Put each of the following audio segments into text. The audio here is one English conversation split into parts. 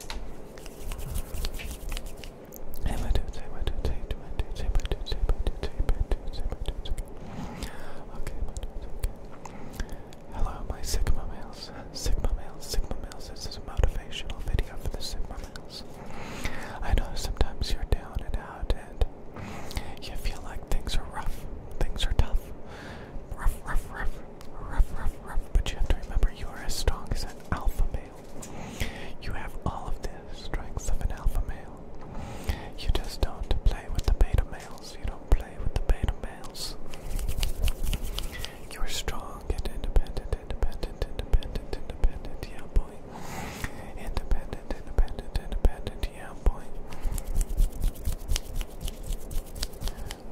Hello, my Sigma males. Sigma males, Sigma males. This is a motivational video for the Sigma males. I know sometimes you're down and out and you feel like things are rough, things are tough. Rough, rough, rough but you have to remember you are as strong as an alpha male. You have all of the strengths of an alpha male. You just don't play with the beta males. You don't play with the beta males. You are strong and independent, independent, independent, independent, yeah, boy. Independent, independent, independent, yeah, boy.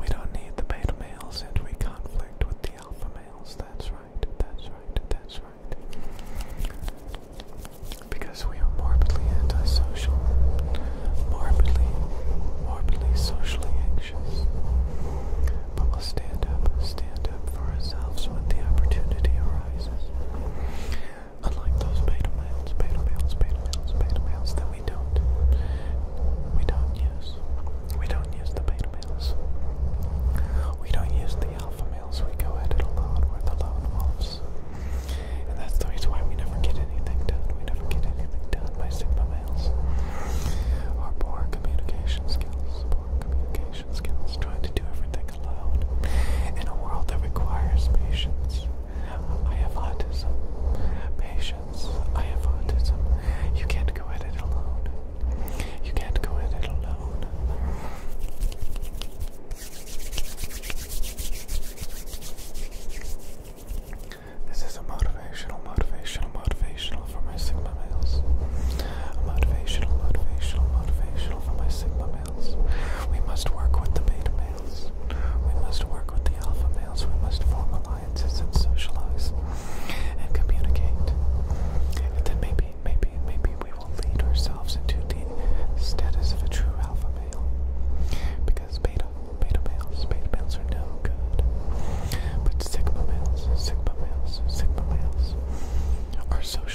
We don't need the beta males and we conflict with the alpha males. That's right, that's right, that's right. Because we are morbidly antisocial, morbidly, morbidly socially anxious. But we'll stand up, stand up for ourselves when the opportunity arises. Unlike those beta males, beta males, beta males, beta males, we don't we don't use. We don't use the beta males. We don't use the alpha males. We go at it alone. where the lone wolves. And that's the reason why we never get anything done. We never get anything done by sigma males. Our poor communication skills. Poor communication skills. Trying to do everything alone in a world that requires patience. I have autism. Patience, I have autism. You can't go at it alone. You can't go at it alone. This is a motivational, motivational, motivational for my Sigma males. motivational, motivational, motivational for my Sigma males. We must work with the beta males. We must work with the alpha males. We must form alliances and socialize and communicate. And then maybe, maybe, maybe we will lead ourselves into the status of a true alpha male. Because beta, beta males, beta males are no good. But sigma males, sigma males, sigma males are social.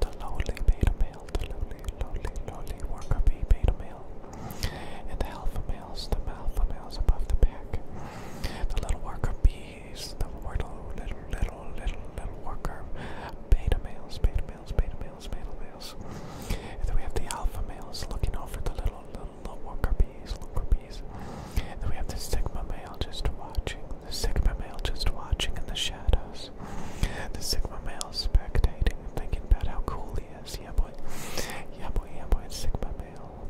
The lowly beta male, the lowly, lowly, lowly worker bee beta male, and the alpha males, the alpha males above the pack. The little worker bees, the little, little, little, little, little worker beta males, beta males, beta males, beta males. And then we have the alpha males looking over the little, little, little worker bees, worker bees. And then we have the sigma male just watching, the Sigma male just watching in the shadows. The Sigma male spectating and thinking about how cool he is. Yeah, boy. Yeah, boy, yeah, boy. Sigma male.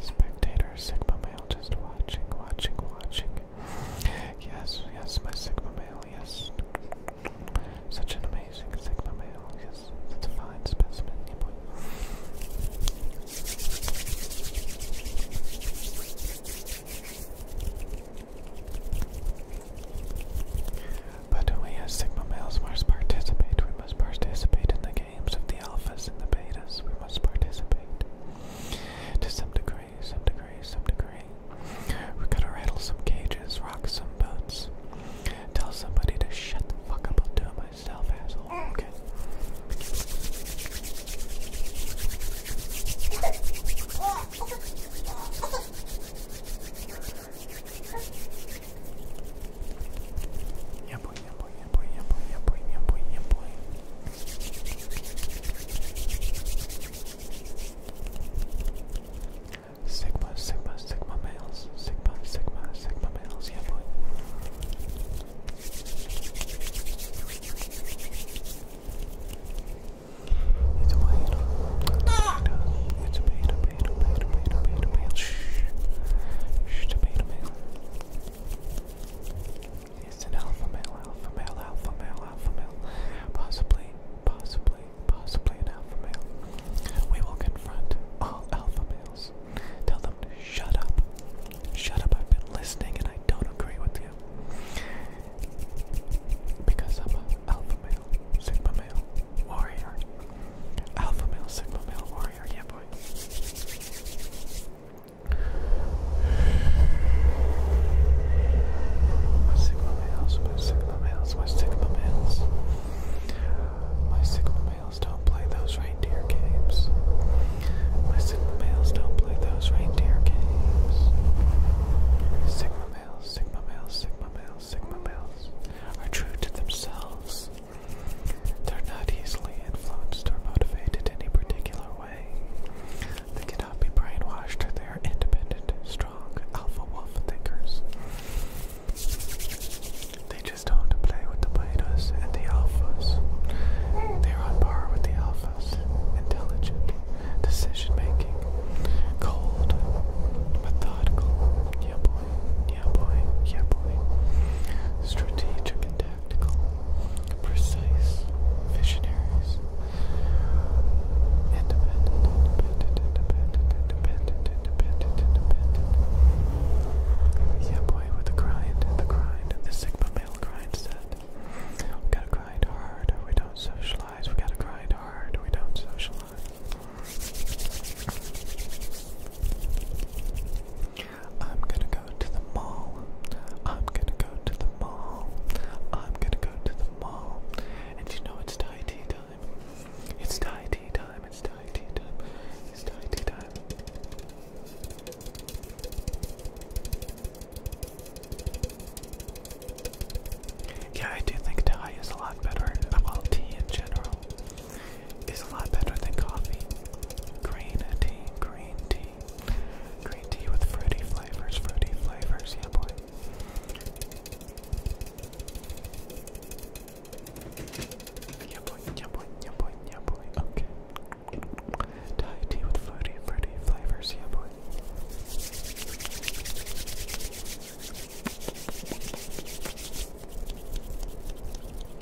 Spectator, Sigma male just watching, watching, watching. Yes, yes, my Sigma male, yes. Such an amazing Sigma male, yes. It's a fine specimen, yeah, boy. But we as Sigma males must participate. We must participate in the games of the alphas and the betas. We must participate. To some degree, some degree, some degree. We gotta rattle some cages, rock some boats, tell somebody to shut the fuck up and do yeah boy, yeah boy, yeah boy, yeah boy, yeah boy, yeah boy, yeah boy. Sigma, Sigma, Sigma males, Sigma, Sigma, Sigma males, yeah boy. It's a potato. It's a potato, potato, potato, potato, potato, potato. Shh. Shh, It's an alpha male, alpha male, alpha male, alpha male. Possibly, possibly, possibly an alpha male. We will confront all alpha males. Tell them to shut up. Shut up. I've been listening and I don't agree with you. Because I'm an alpha male, sigma male, warrior. Alpha male, sigma male, warrior. Yeah, boy. My sigma males, my sigma males, my sigma males. My signal males don't play those reindeer games. My signal males don't play those reindeer games. Sigma males, sigma males, sigma males, sigma males are true to themselves. They're not easily influenced or motivated any particular way. They cannot be brainwashed. They are independent, strong, alpha wolf thinkers. They just don't play with the betas and the alphas. They're on par with the alphas. Intelligent, decision making, cold, methodical. Yeah, boy. Yeah, boy. Yeah, boy. Strategic and tactical. Precise. Visionaries. Independent, independent, independent, independent, independent, independent. Yeah, boy, with the grind, the grind, the Sigma male grind set. We gotta grind hard or we don't socialize. We gotta grind hard or we don't socialize. I'm gonna go to the mall. I'm gonna go to the mall. I'm gonna go to the mall. And you know it's Thai tea time. It's Thai tea time. It's Thai tea time. It's Thai tea time. Yeah, I do think Thai is a lot better. Uh, well, tea in general is a lot better than coffee. Green tea, green tea. Green tea with fruity flavors, fruity flavors, yeah boy. Yeah boy, yeah boy, yeah boy, yeah boy. Okay. Thai tea with floaty fruity flavors, yeah boy.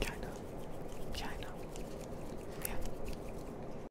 Yeah, I Yeah.